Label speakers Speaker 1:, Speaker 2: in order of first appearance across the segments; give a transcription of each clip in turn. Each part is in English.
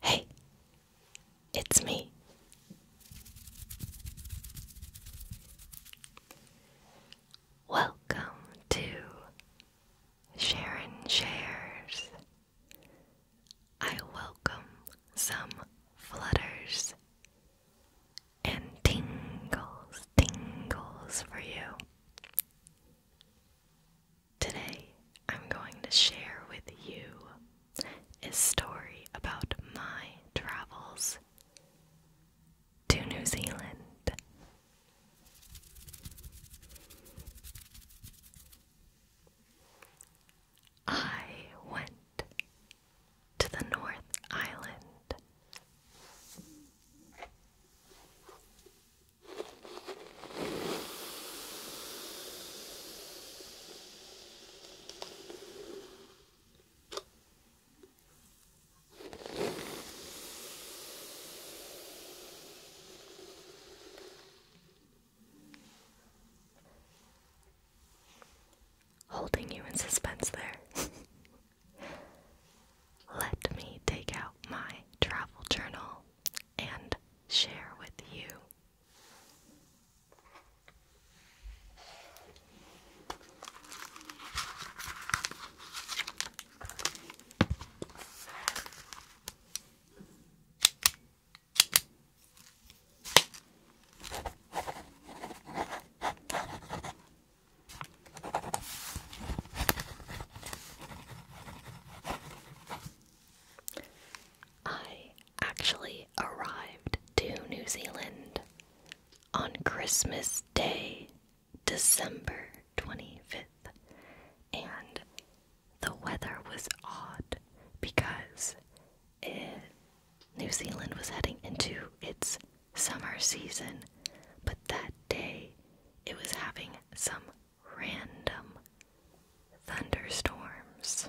Speaker 1: Hey, it's me. Welcome to Sharon Shares. I welcome some flutters and tingles, tingles for you. Today, I'm going to share with you a story about my travels to New Zealand. I went to the North Island. Holding you in suspense there. Let me take out my travel journal and share with you. I actually arrived to New Zealand on Christmas Day, December 25th, and the weather was odd because New Zealand was heading into its summer season, but that day it was having some random thunderstorms.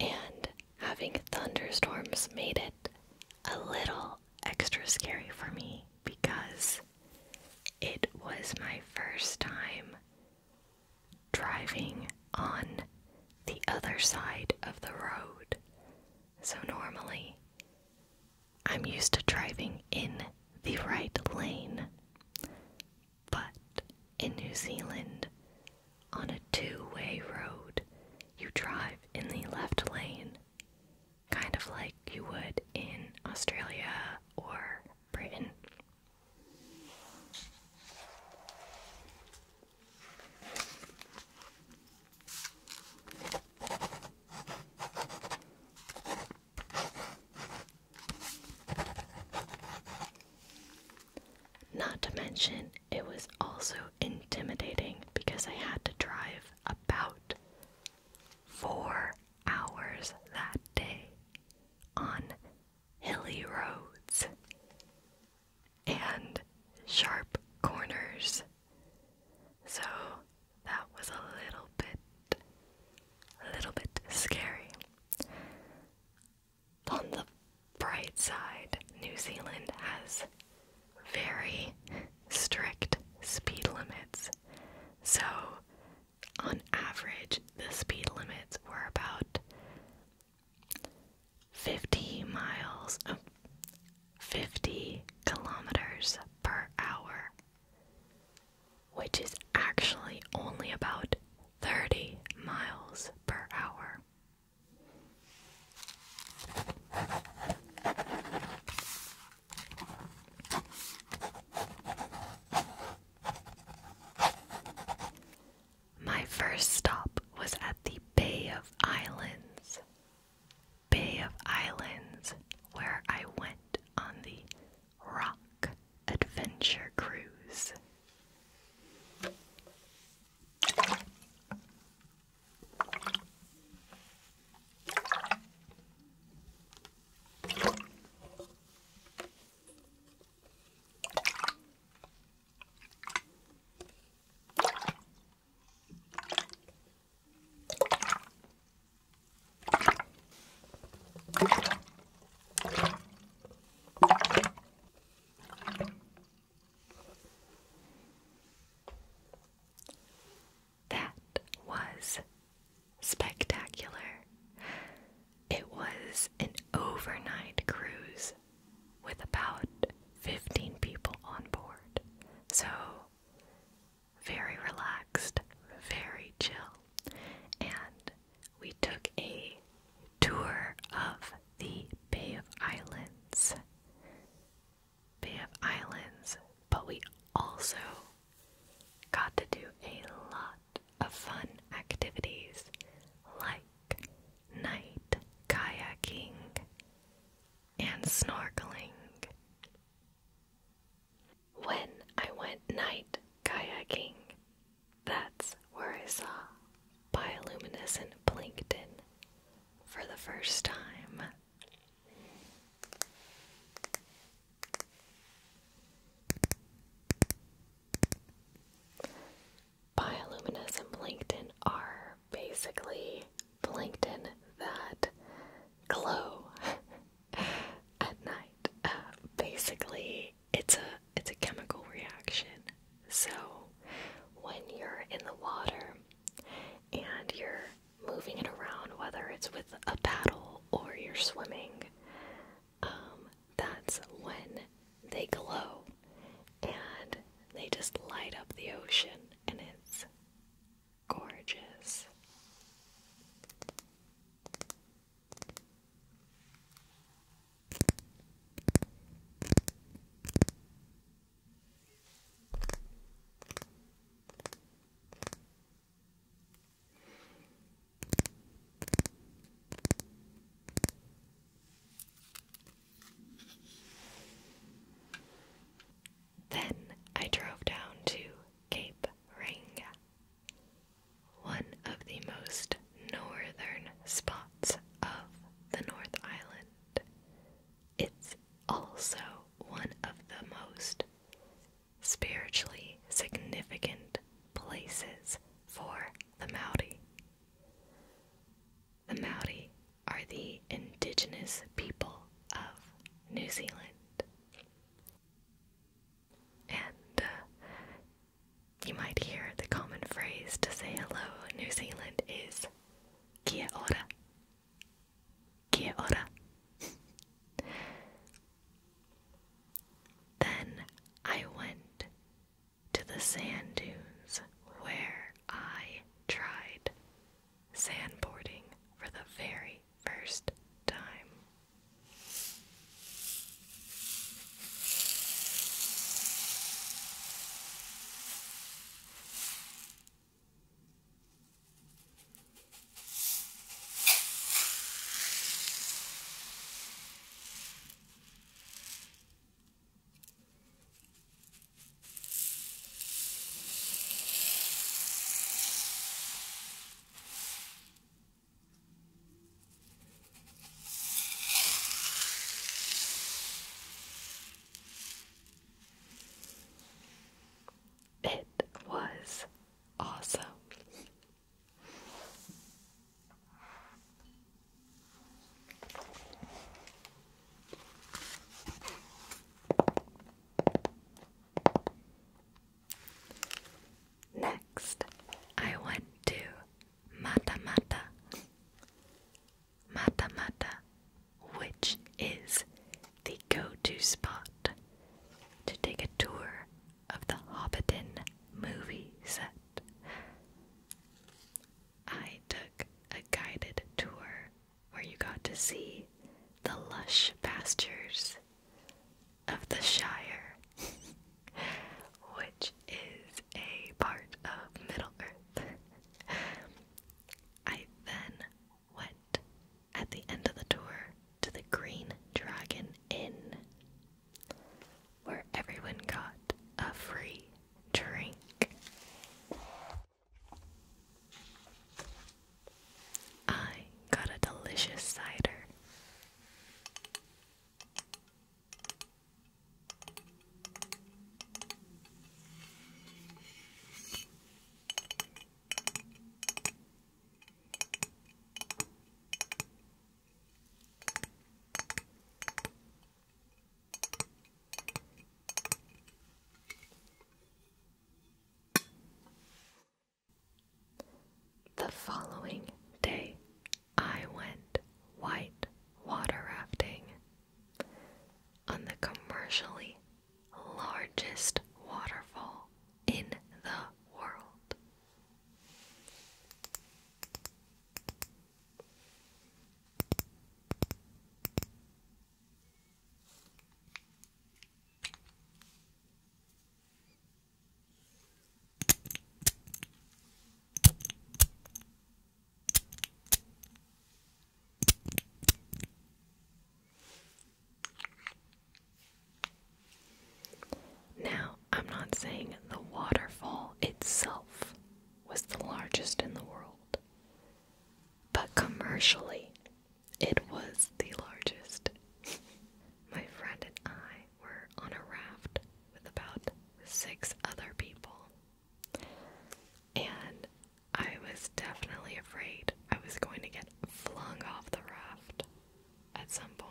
Speaker 1: And having thunderstorms made it a little extra scary for me because it was my first time driving on the other side of the road. So normally, I'm used to driving in the right lane. But in New Zealand, on a two way road, you drive in the left lane, kind of like you would in Australia or Britain. Not to mention, it was also intimidating because I had to drive about four hours that day on hilly roads and sharp corners. So that was a little bit, a little bit scary. On the bright side, New Zealand has very strict speed limits. So on average, the speed limits were about 50 miles, uh, 50 kilometers per hour, which is actually only about 30 miles per hour. My first stop was at the Bay of Islands. Bay of Islands, where I went on the Rock Adventure Cruise. That was spectacular. It was an overnight cruise with about 15 people on board. So, very relaxed, very chill. And we took a tour of the Bay of Islands. Bay of Islands, but we also Got to do a lot of fun activities like night kayaking and snorkeling. When I went night kayaking, that's where I saw bioluminescent plankton for the first time. Bioluminescent plankton are basically plankton that glow at night. Uh, basically, it's a it's a chemical reaction. So when you're in the water and you're moving it around, whether it's with a paddle or you're swimming, um, that's when they glow and they just light up the ocean, and it's gorgeous. Then I drove down to Cape Ranga, one of the most northern spots of the North Island. It's also one of the most spiritually significant places for the Maori. The Maori are the indigenous people of New Zealand. And uh, you might hear the common phrase to say hello New Zealand is kia ora then I went to the sand dunes where I tried sandboarding for the very first time. It was awesome. Next, I went to Mata Mata. Mata Mata, which is the go-to spot to take a tour of the Hobbiton movie set. I took a guided tour where you got to see the lush pastures of the Shire, which is a part of Middle Earth. I then went at the end of the tour to the Green Dragon Inn, where everyone got a free drink. I got a delicious cider. The following day, I went white water rafting on the commercially largest waterfall in the world. Now, I'm not saying the waterfall itself was the largest in the world, but commercially, it was the largest. My friend and I were on a raft with about six other people, and I was definitely afraid I was going to get flung off the raft at some point.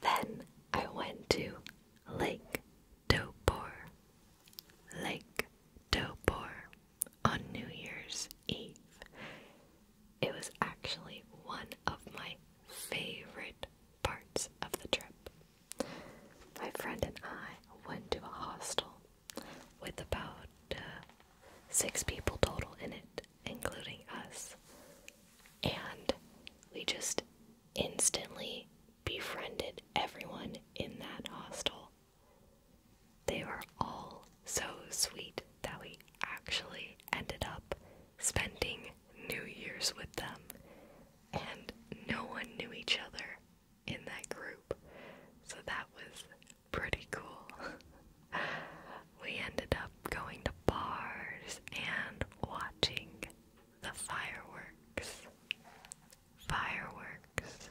Speaker 1: Then I went to Lake Dobor, Lake Dobor on New Year's Eve it was actually one of my favorite parts of the trip. My friend and I went to a hostel with about uh, six people total in it, including us. And we just instantly befriended everyone in that hostel. They were all so sweet that we actually ended up spending New Year's with them, and no one knew each other in that group, so that was pretty cool. we ended up going to bars and watching the fireworks. Fireworks.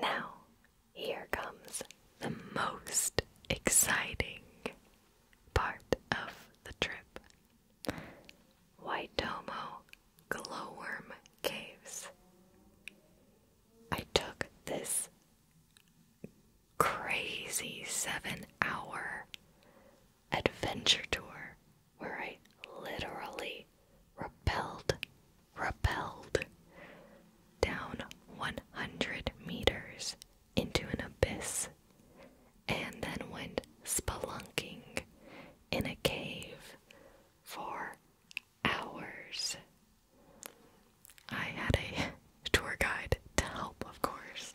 Speaker 1: Now, here comes the most exciting part of the trip Waitomo Glowworm Caves. I took this crazy seven hour adventure tour where I literally rappelled, rappelled down 100 meters into an abyss and then went spelunking in a cave for hours. I had a tour guide to help, of course.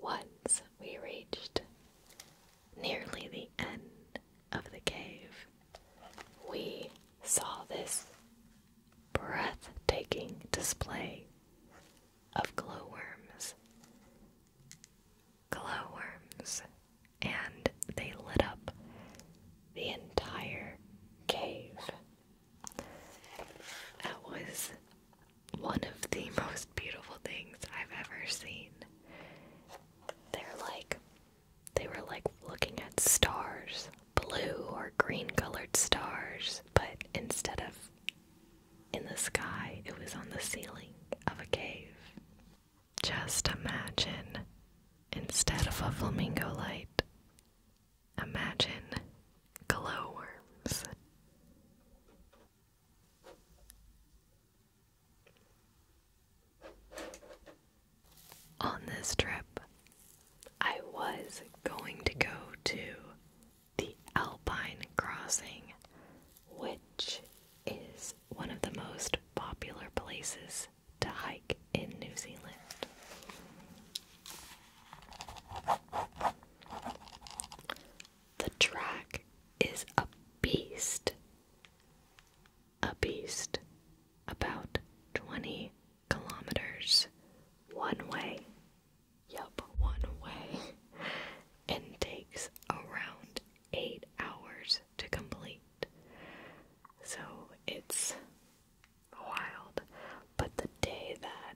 Speaker 1: Once we reached nearly the end of the cave, we saw this breathtaking display of glowworms. Glowworms, and they lit up the entire cave. That was one of the most beautiful things I've ever seen. They're like, they were like looking at stars, blue or green colored stars, but instead of in the sky, it was on the ceiling of a cave. Just imagine, instead of a flamingo light, Imagine glowworms. On this trip, I was going to go to the Alpine Crossing, which is one of the most popular places to hike in New Zealand. The track is a beast. A beast. About 20 kilometers one way. Yup, one way. and takes around 8 hours to complete. So it's wild. But the day that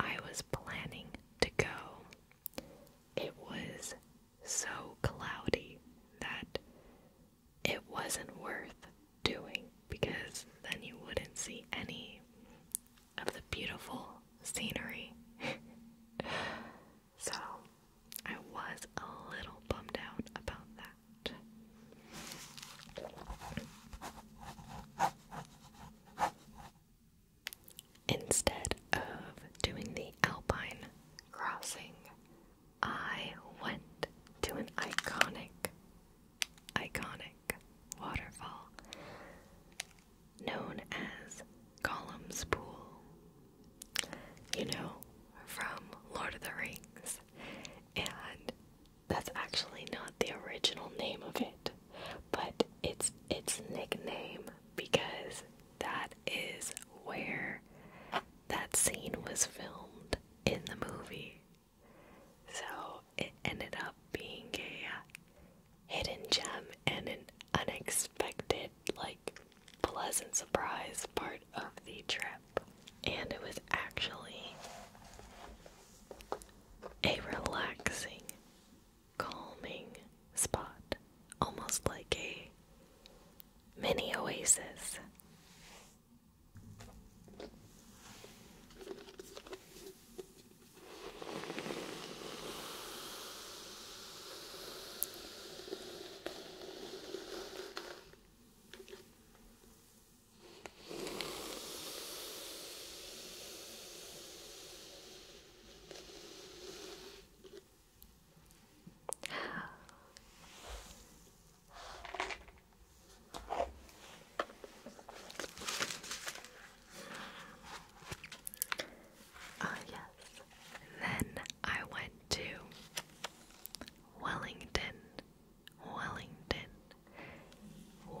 Speaker 1: I was planning to go, it was so cloudy that it wasn't worth doing because then you wouldn't see any of the beautiful scenery. so I was a little bummed out about that. Instead of doing the Alpine crossing, I went to an iconic, iconic waterfall known as Columns Pool. You know, from Lord of the Rings. And that's actually not the original name of it, but it's its nickname because that is where that scene was filmed in the movie. So it ended up being a uh, hidden gem and an unexpected, like, pleasant surprise part of the trip and it was actually a relaxing, calming spot, almost like a mini oasis. Ah, yes. Then I went to Wellington Wellington,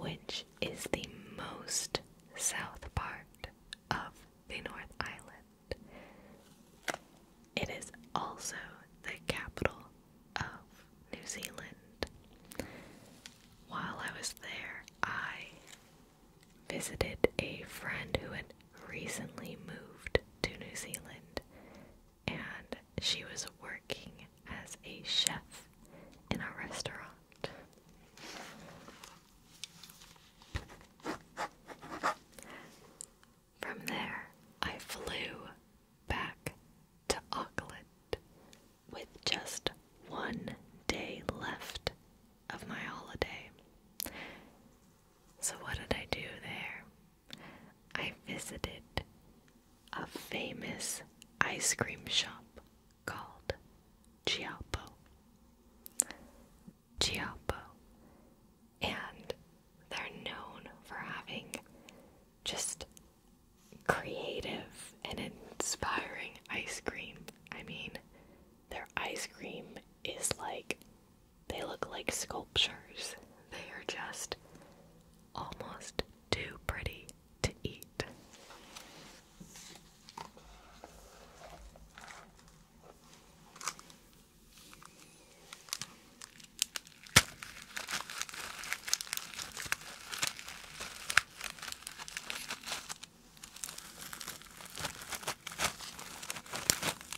Speaker 1: which is the most south part of the North Island. It is also the capital of New Zealand. While I was there, I visited a friend who had recently moved to New Zealand and she was working as a chef in a restaurant. From there, I flew back to Auckland with just one day left of my holiday. So, what did I do there? I visited a famous ice cream shop called Chiapo. Chiapo. And they're known for having just creative and inspiring ice cream. I mean, their ice cream is like they look like sculptures. They are just almost too pretty to eat.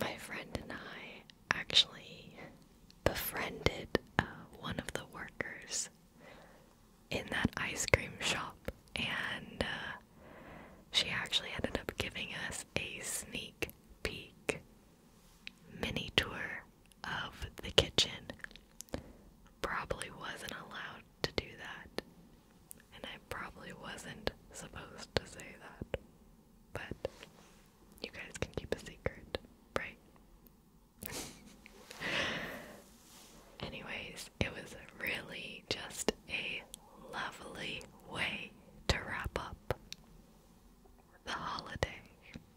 Speaker 1: My friend and I actually befriended uh, one of the workers in that ice cream shop, and uh, she actually ended up giving us a sneak peek mini tour of the kitchen. Probably wasn't allowed to do that, and I probably wasn't supposed to say that, but you guys can keep a secret, right? Anyways, it was really just a lovely way to wrap up the holiday.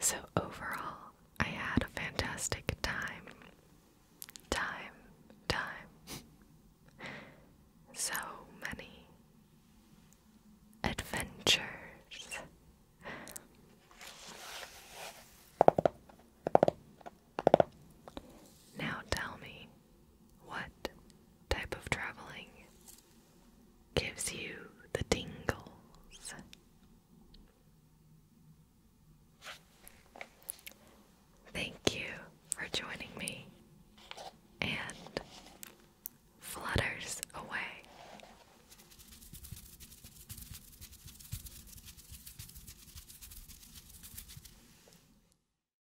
Speaker 1: So, overall, I had a fantastic time. Time, time. so many adventures. Now tell me, what type of traveling gives you the tingles? Thank you for joining me and flutters away.